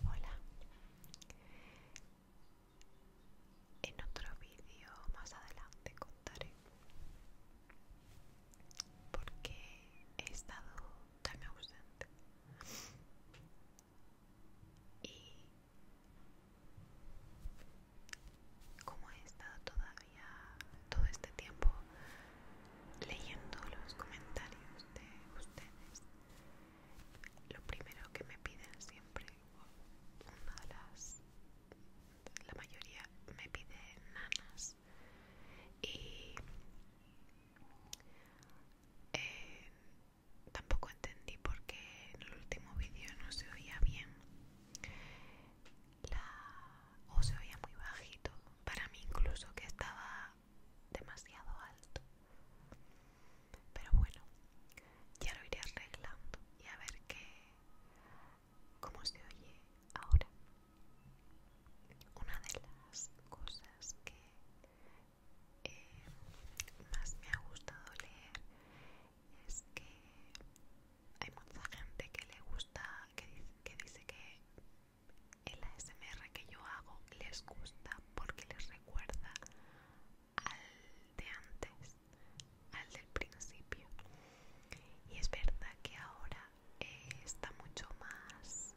Hola. En otro vídeo más adelante contaré porque he estado tan ausente. Y como he estado todavía todo este tiempo leyendo los comentarios de ustedes, lo primero que me piden siempre, una de las, la mayoría me pide nanas y eh, tampoco entendí porque en el último vídeo no se oía bien o se oía muy bajito para mí incluso que estaba demasiado alto pero bueno ya lo iré arreglando y a ver qué cómo se oye ahora una de las cosas que eh, más me ha gustado leer es que hay mucha gente que le gusta, que, que dice que el ASMR que yo hago les gusta porque les recuerda al de antes, al del principio. Y es verdad que ahora está mucho más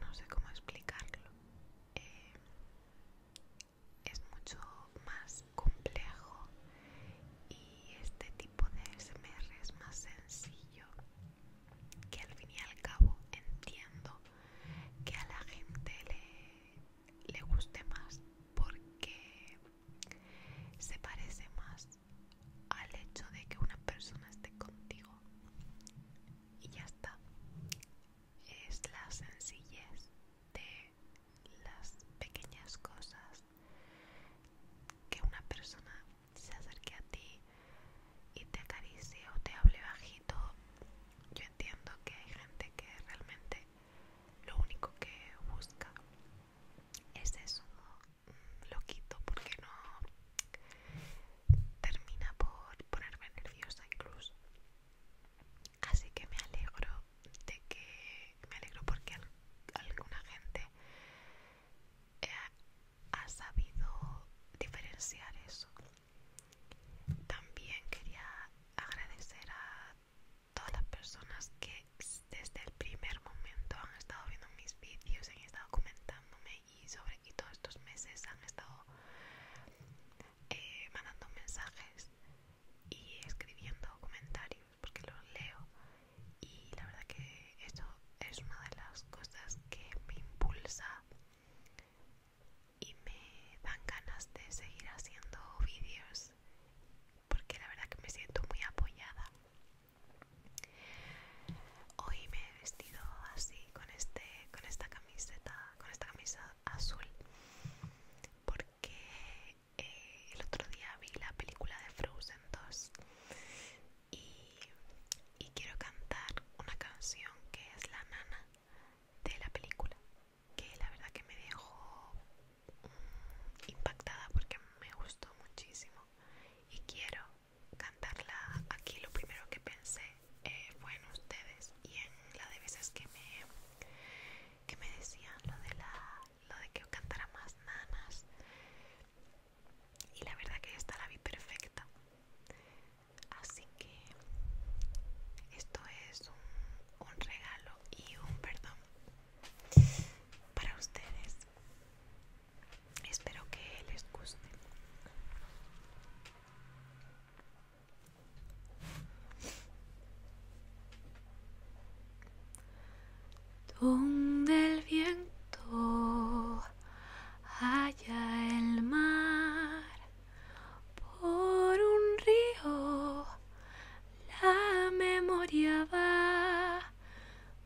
no sé cómo explicarlo eh, es mucho más complejo y este tipo de smr es más sencillo que al fin y al cabo entiendo que a la gente le guste más porque se parece más al hecho de que una persona esté contigo y ya está es la sencillez de las pequeñas cosas que una persona se acerque a ti y te acaricie o te hable bajito yo entiendo que hay gente que realmente lo único que busca es eso, lo quito porque no termina por ponerme nerviosa incluso así que me alegro de que me alegro porque alguna gente eh, ha sabido diferenciar eso también quería agradecer a todas las personas que desde el primer momento han estado viendo mis vídeos, y han estado comentándome y sobre todo todos estos meses han estado eh, mandando mensajes y escribiendo comentarios porque los leo y la verdad que eso es una de las cosas que me impulsa y me dan ganas de seguir haciendo vídeos porque la verdad que me siento muy apoyada Hoy me he vestido así con este con esta camiseta, con esta camisa azul porque eh, el otro día vi la película de Frozen 2 y quiero cantar una canción que es la nana de la película que la verdad que me dejó mm, impactada porque me gustó muchísimo y quiero cantarla aquí lo primero que pensé eh, fue en ustedes y en la de veces que me que me decían lo de la lo de que cantara más nanas y la verdad que esta la vi perfecta así que esto es un regalo y un perdón para ustedes Espero que les guste. Donde el viento haya el mar por un río, la memoria va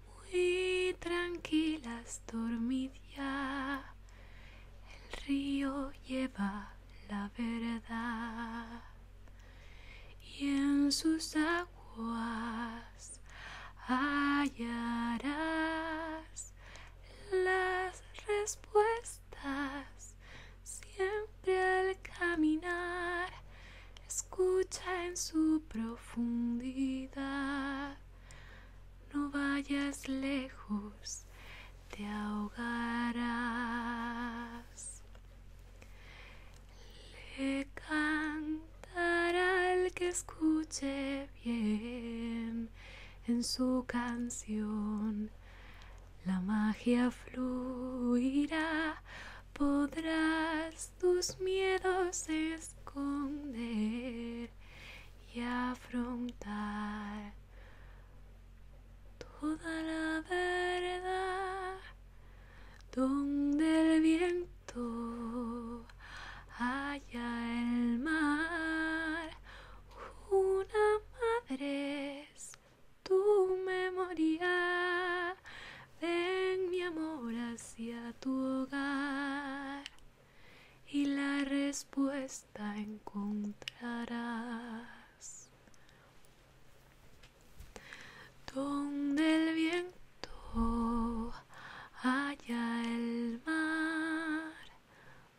muy tranquilas dormidas El río lleva la verdad y en sus aguas hallarás las respuestas siempre al caminar escucha en su profundidad. No vayas lejos, te ahogarás. Le cantará al que escuche bien en su canción. La magia fluirá, podrás tus miedos esconder y afrontar toda la verdad donde el viento haya el mar. Una madre es tu memoria Ven mi amor hacia tu hogar y la respuesta encontrarás. Donde el viento haya el mar,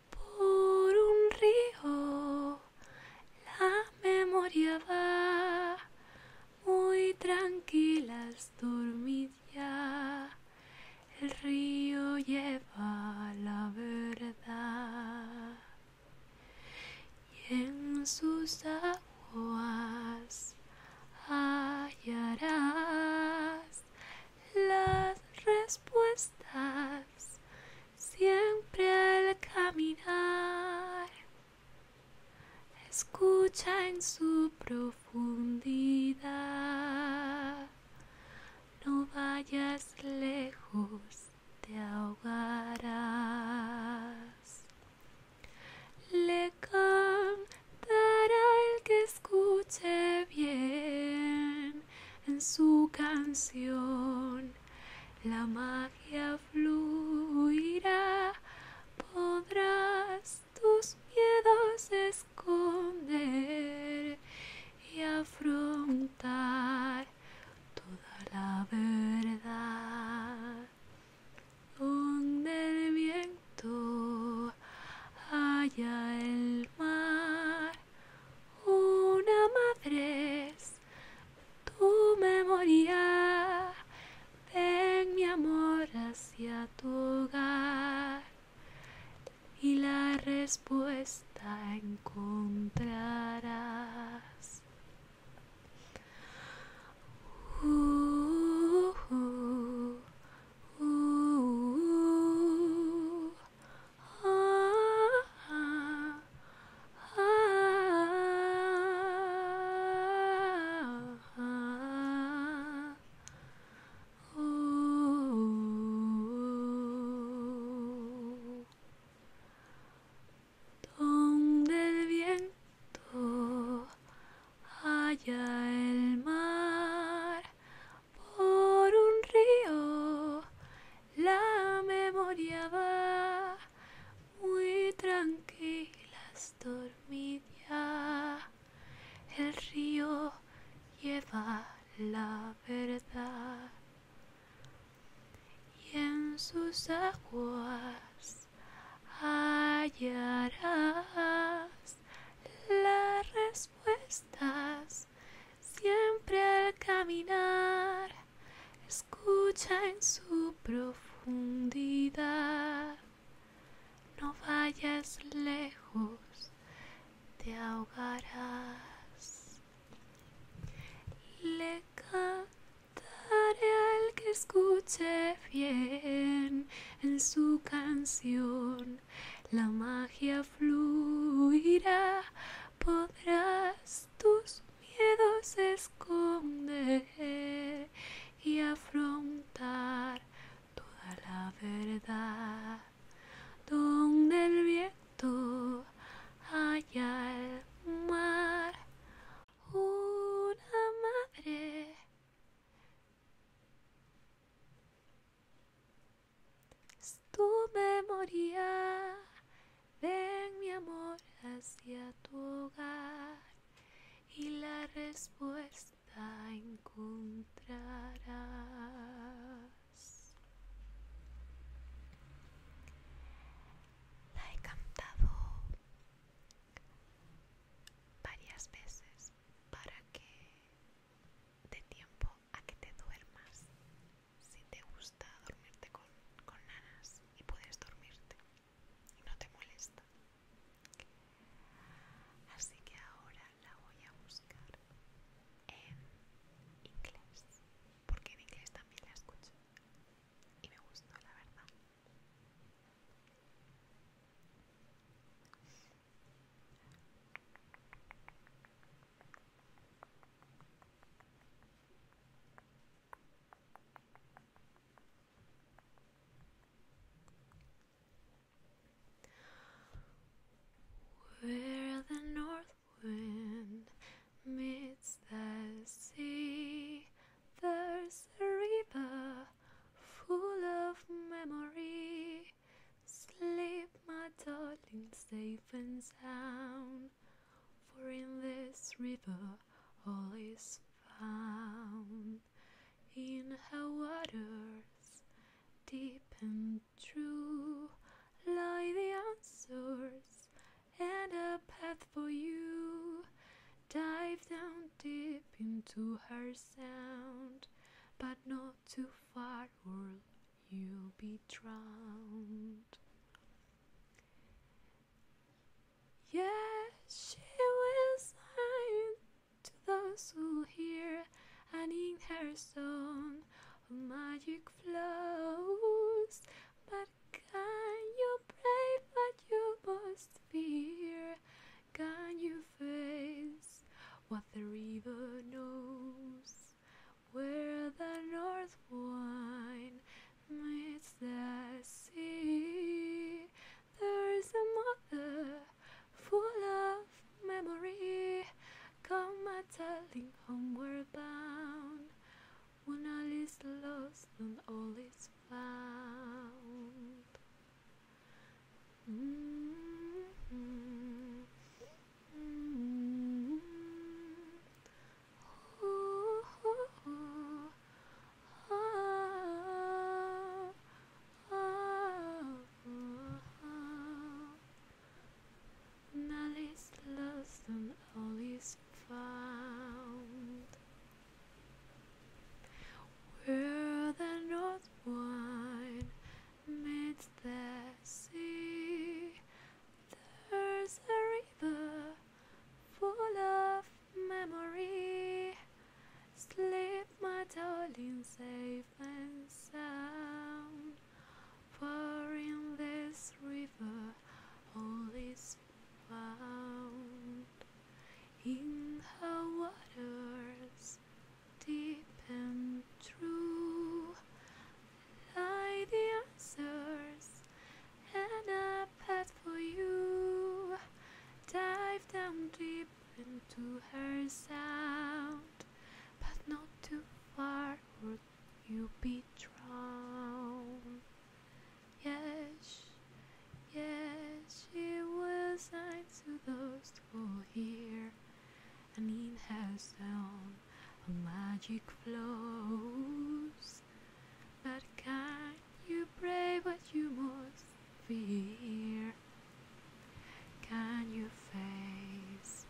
por un río la memoria va, muy tranquilas dormidas el río lleva la verdad y en sus aguas hallarás las respuestas siempre al caminar. Escucha en su profundidad, no vayas lejos, te ahogarás. Le cantará el que escuche bien en su canción, la magia fluirá, podrás tus miedos esconder y afrontar toda la verdad. Donde el viento haya el mar, una madre es tu memoria Ven mi amor hacia tu hogar y la respuesta encontrarás. Uh, donde el viento allá el mar por un río la memoria va muy tranquila el río lleva la verdad y en sus aguas hallarás las respuestas siempre al caminar escucha en su profundidad no vayas lejos, te ahogarás. Le cantaré al que escuche bien en su canción. La magia fluirá, podrás tus miedos esconder y afrontar toda la verdad donde el viento haya el mar una madre tu memoria ven mi amor hacia tu hogar y la respuesta encontrarás. La he cantado varias veces para que dé tiempo a que te duermas si te gusta dormirte con, con nanas y puedes dormirte y no te molesta. Así que ahora la voy a buscar en inglés, porque en inglés también la escucho y me gustó, la verdad. Where the north wind meets the sea, there's a river full of memory. Sleep, my darling, safe and sound, for in this river all is found in her waters deep and true lie the answers and a path for you dive down deep into her sound but not too far or you'll be drowned Yes, she will sign to those who hear, and in her song a magic flows. But can you pray what you must fear? Can you face what the river knows? Where the north wind Amidst the sea, there is a mother full of memory. Come a telling homeward bound, when all is lost and all is found. Mm-hmm. Mm-hmm. None is lost and all is found. Where the north wind meets the sea, there's a river full of memory. Sleep, my darling, safe and sound. For in this river all is found. In the waters, deep and true, lie the answers, and I. But for you. Dive down deep into her sound, but not too far or you'll be drowned. Yes, yes, she was sign to those who hear, and in her sound a magic flows. But can you brave what you must fear? Can you face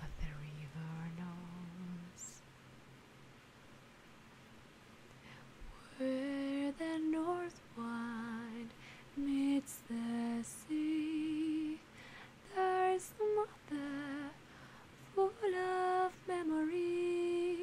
what the river knows? Where the north wind meets the sea, there's a mother full of memory.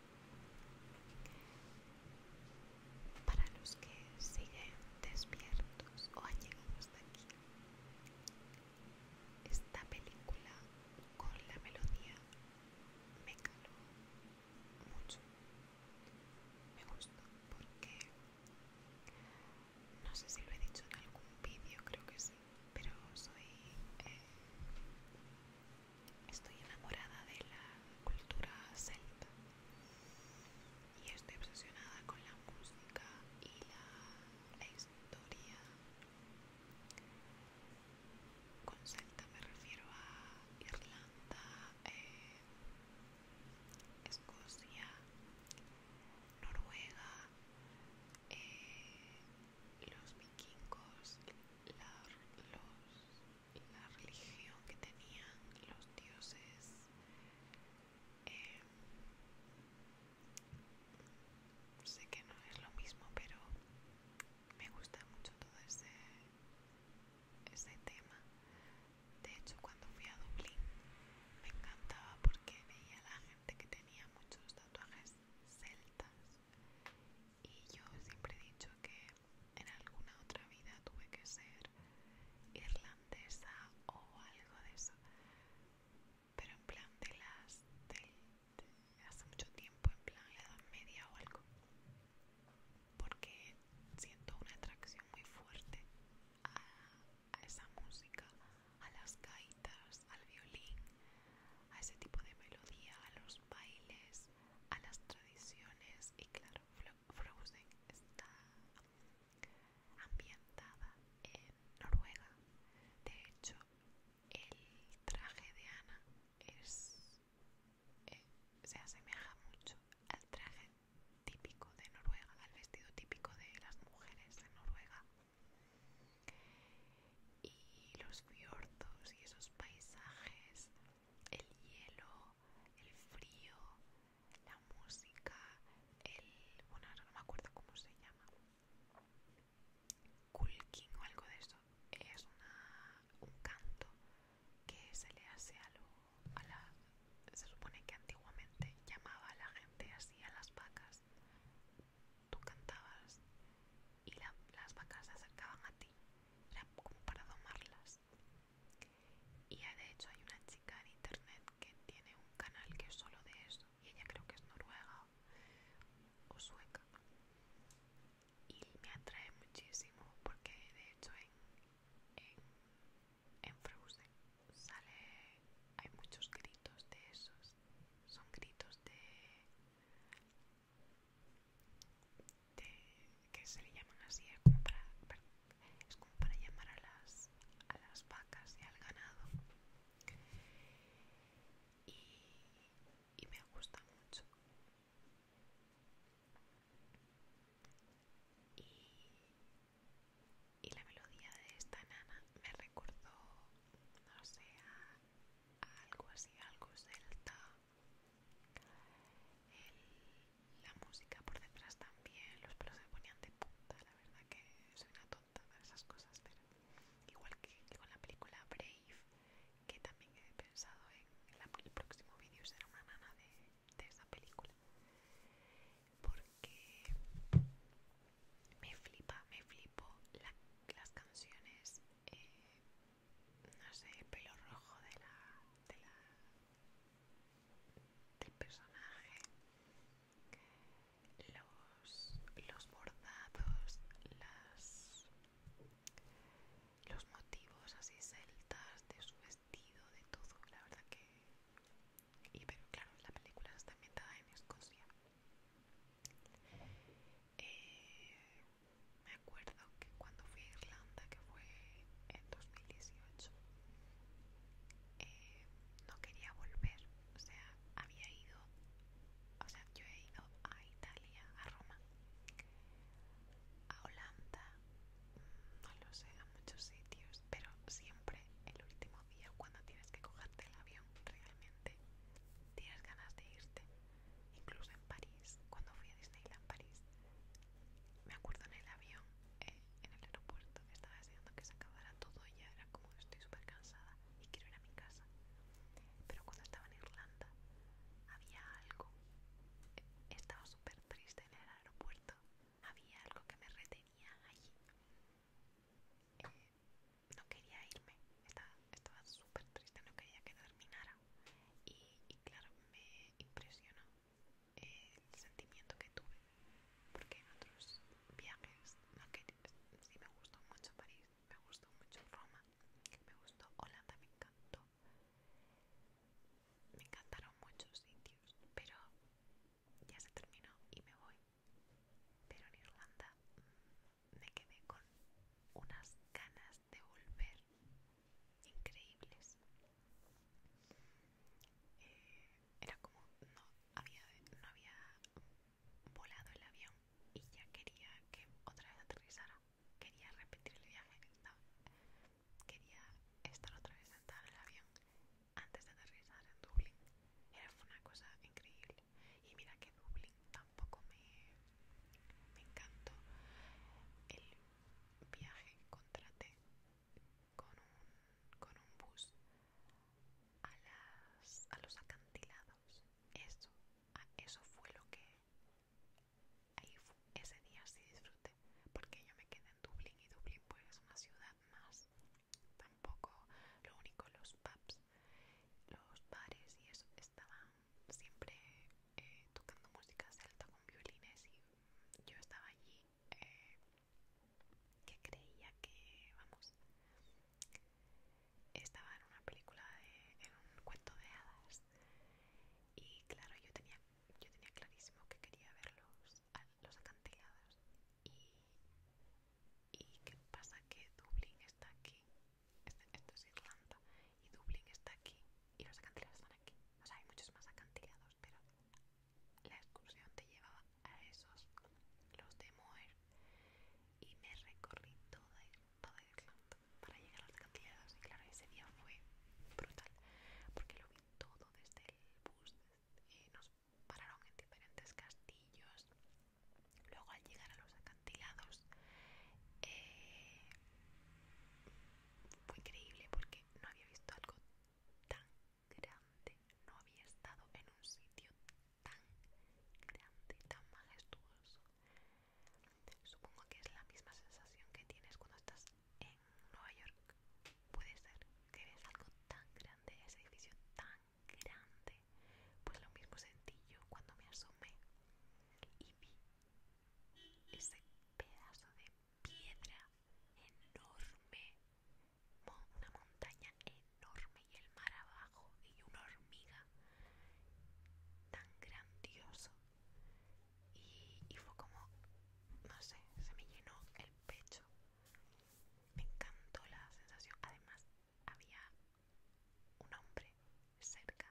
Para los que siguen despiertos o han llegado hasta aquí, esta película con la melodía me caló mucho. Me gustó porque no sé si lo he dicho en algún vídeo, creo que sí, pero soy eh, Estoy enamorada de la cultura celta y estoy obsesionada con la música y la historia. Con celta me refiero a Irlanda, eh, Escocia, Noruega, eh, los vikingos, la, la religión que tenían, los dioses, em, sé que no es lo mismo, pero me gusta mucho todo ese, ese tema. De hecho, cuando fui a Dublín me encantaba porque veía a la gente que tenía muchos tatuajes celtas y yo siempre he dicho que en alguna otra vida tuve que ser irlandesa o algo de eso. Pero en plan de las hace mucho tiempo, en plan la edad media o algo. Porque siento una atracción muy fuerte a, a esa música, a las gaitas, al violín, a ese tipo de melodía, a los bailes, a las tradiciones y claro, Frozen está ambientada en Noruega. De hecho, el traje de Ana es, eh, se asemeja mucho al traje típico de Noruega, al vestido típico de las mujeres de Noruega y los fiordos y esos paisajes, el hielo, el frío, la música, el... bueno, no me acuerdo cómo se llama. Kulkin o algo de eso. Es un canto que se le hace a, lo, a la... Se supone que antiguamente llamaba a la gente así a las vacas tú cantabas y las vacas se acercaban a ti, era como para domarlas. Y de hecho hay una chica en internet que tiene un canal que es solo de eso, y ella creo que es noruega o sueca. Y me atrae muchísimo porque de hecho en, en, en Frozen sale, hay muchos gritos de esos, son gritos de que se le llaman así es como para, llamar a las, a las vacas y al ganado y, me gusta mucho y, la melodía de esta nana me recordó no sé a algo así, algo celta. la música por detrás también, los pelos se ponían de punta, la verdad que soy una tonta para esas cosas, pero igual que, con la película Brave, que también he pensado en el próximo vídeo será una nana de, de esa película, porque me flipa, me flipo las canciones, eh, no sé, el pelo rojo de la, de la, del personaje, los, los bordados, las, los motivos así celtas de su vestido, de todo, la verdad que... Y pero claro, la película está ambientada en Escocia. Eh, me acuerdo que cuando fui a Irlanda, que fue en 2018, eh, no quería volver. O sea, había ido, o sea, yo he ido a Italia, a Roma, a Holanda, mm, no lo sé, a muchos sitios, pero siempre el último día cuando tienes que cogerte el avión realmente tienes ganas de irte. Incluso en París, cuando fui a Disneyland París, me acuerdo en el avión, eh, en el aeropuerto, estaba deseando que se acabara todo y ya era como estoy súper cansada y quiero ir a mi casa. Pero cuando estaba en Irlanda, había algo. Eh, estaba súper triste en el aeropuerto. Había algo que me retenía allí. Eh, no quería irme, estaba, súper triste, no quería que terminara y, claro, me impresionó el sentimiento que tuve porque en otros viajes sí me gustó mucho París, me gustó mucho Roma, me gustó Holanda, me encantó me encantaron muchos sitios, pero ya se terminó y me voy pero en Irlanda mm, me quedé con unas ganas de volver increíbles. Eh, era como no había, no había volado el avión y ya quería que otra vez aterrizara. Quería repetir el viaje, quería estar otra vez sentado en el avión antes de aterrizar en Dublín. Era una cosa increíble. Y mira que Dublín tampoco me, encantó. El viaje que contraté con un, con un bus a, las, a los acantilados. Eso, ah, eso fue lo que... Ahí ese día sí disfruté porque yo me quedé en Dublín y Dublín pues es una ciudad más tampoco lo único los pubs los bares y eso estaban siempre eh, tocando música celta con violines y yo estaba allí eh, que creía que vamos estaba en una película de, en un cuento de hadas y claro yo tenía yo tenía clarísimo que quería ver los, los acantilados y, qué pasa que Dublín está aquí esto es Irlanda y Dublín está aquí y los acantilados están aquí o sea hay muchos más acantilados pero la excursión te llevaba a esos los de Moer y me recorrí toda, Irlanda para llegar a los acantilados y claro ese día fue brutal porque lo vi todo desde el bus eh, pararon en diferentes castillos. Luego al llegar a los acantilados eh, fue increíble porque no había visto algo tan grande, no había estado en un sitio tan grande, tan majestuoso. Supongo que es la misma sensación que tienes cuando estás en Nueva York. Puede ser que ves algo tan grande, ese edificio tan grande. Pues lo mismo sentí yo cuando me asomé y vi ese pedazo de piedra enorme, una montaña enorme y el mar abajo y una hormiga tan grandioso. Y, y fue como, no sé, se me llenó el pecho. Me encantó la sensación. Además, había un hombre cerca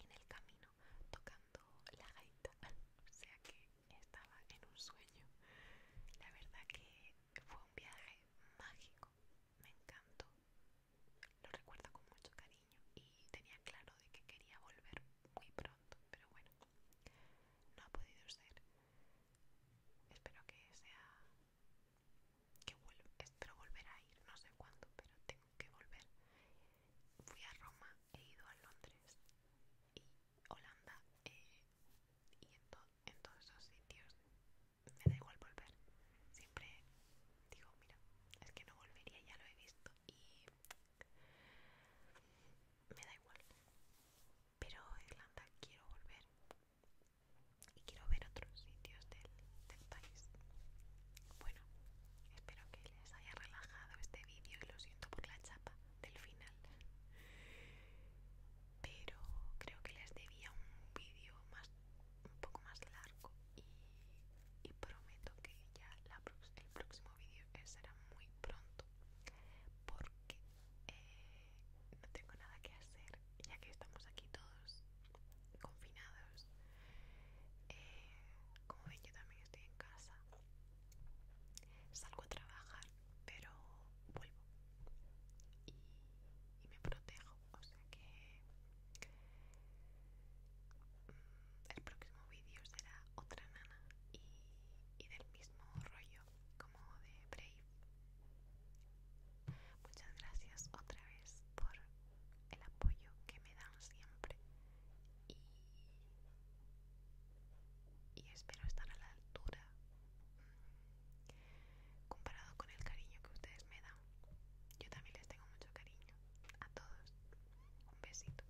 en el camino tocando la gaita, o sea que estaba en un sueño. La verdad que fue un viaje mágico, me encantó, lo recuerdo con mucho cariño y tenía claro de que quería volver muy pronto, pero bueno, no ha podido ser. Espero que sea que espero volver a ir, no sé cuándo, pero tengo que volver. Fui a Roma, he ido a Londres y Holanda eh, y en, en todos esos sitios me da igual volver. Siempre digo, mira, es que no volvería, ya lo he visto y me da igual. Pero Irlanda quiero volver y quiero ver otros sitios del, país. Bueno, espero que les haya relajado este vídeo y lo siento por la chapa del final. Pero creo que les debía un vídeo más un poco más largo y, prometo que ya el próximo vídeo será muy pronto porque eh, no tengo nada que hacer ya que estamos aquí todos confinados eh, como ven yo también estoy en casa salgo a trabajar pero vuelvo y, me protejo o sea que mm, el próximo vídeo será otra nana y del mismo rollo como de Brave. Muchas gracias otra vez por el apoyo que me dan siempre y, y espero estar a la altura mm, comparado con el cariño que ustedes me dan. Yo también les tengo mucho cariño a todos. Un besito.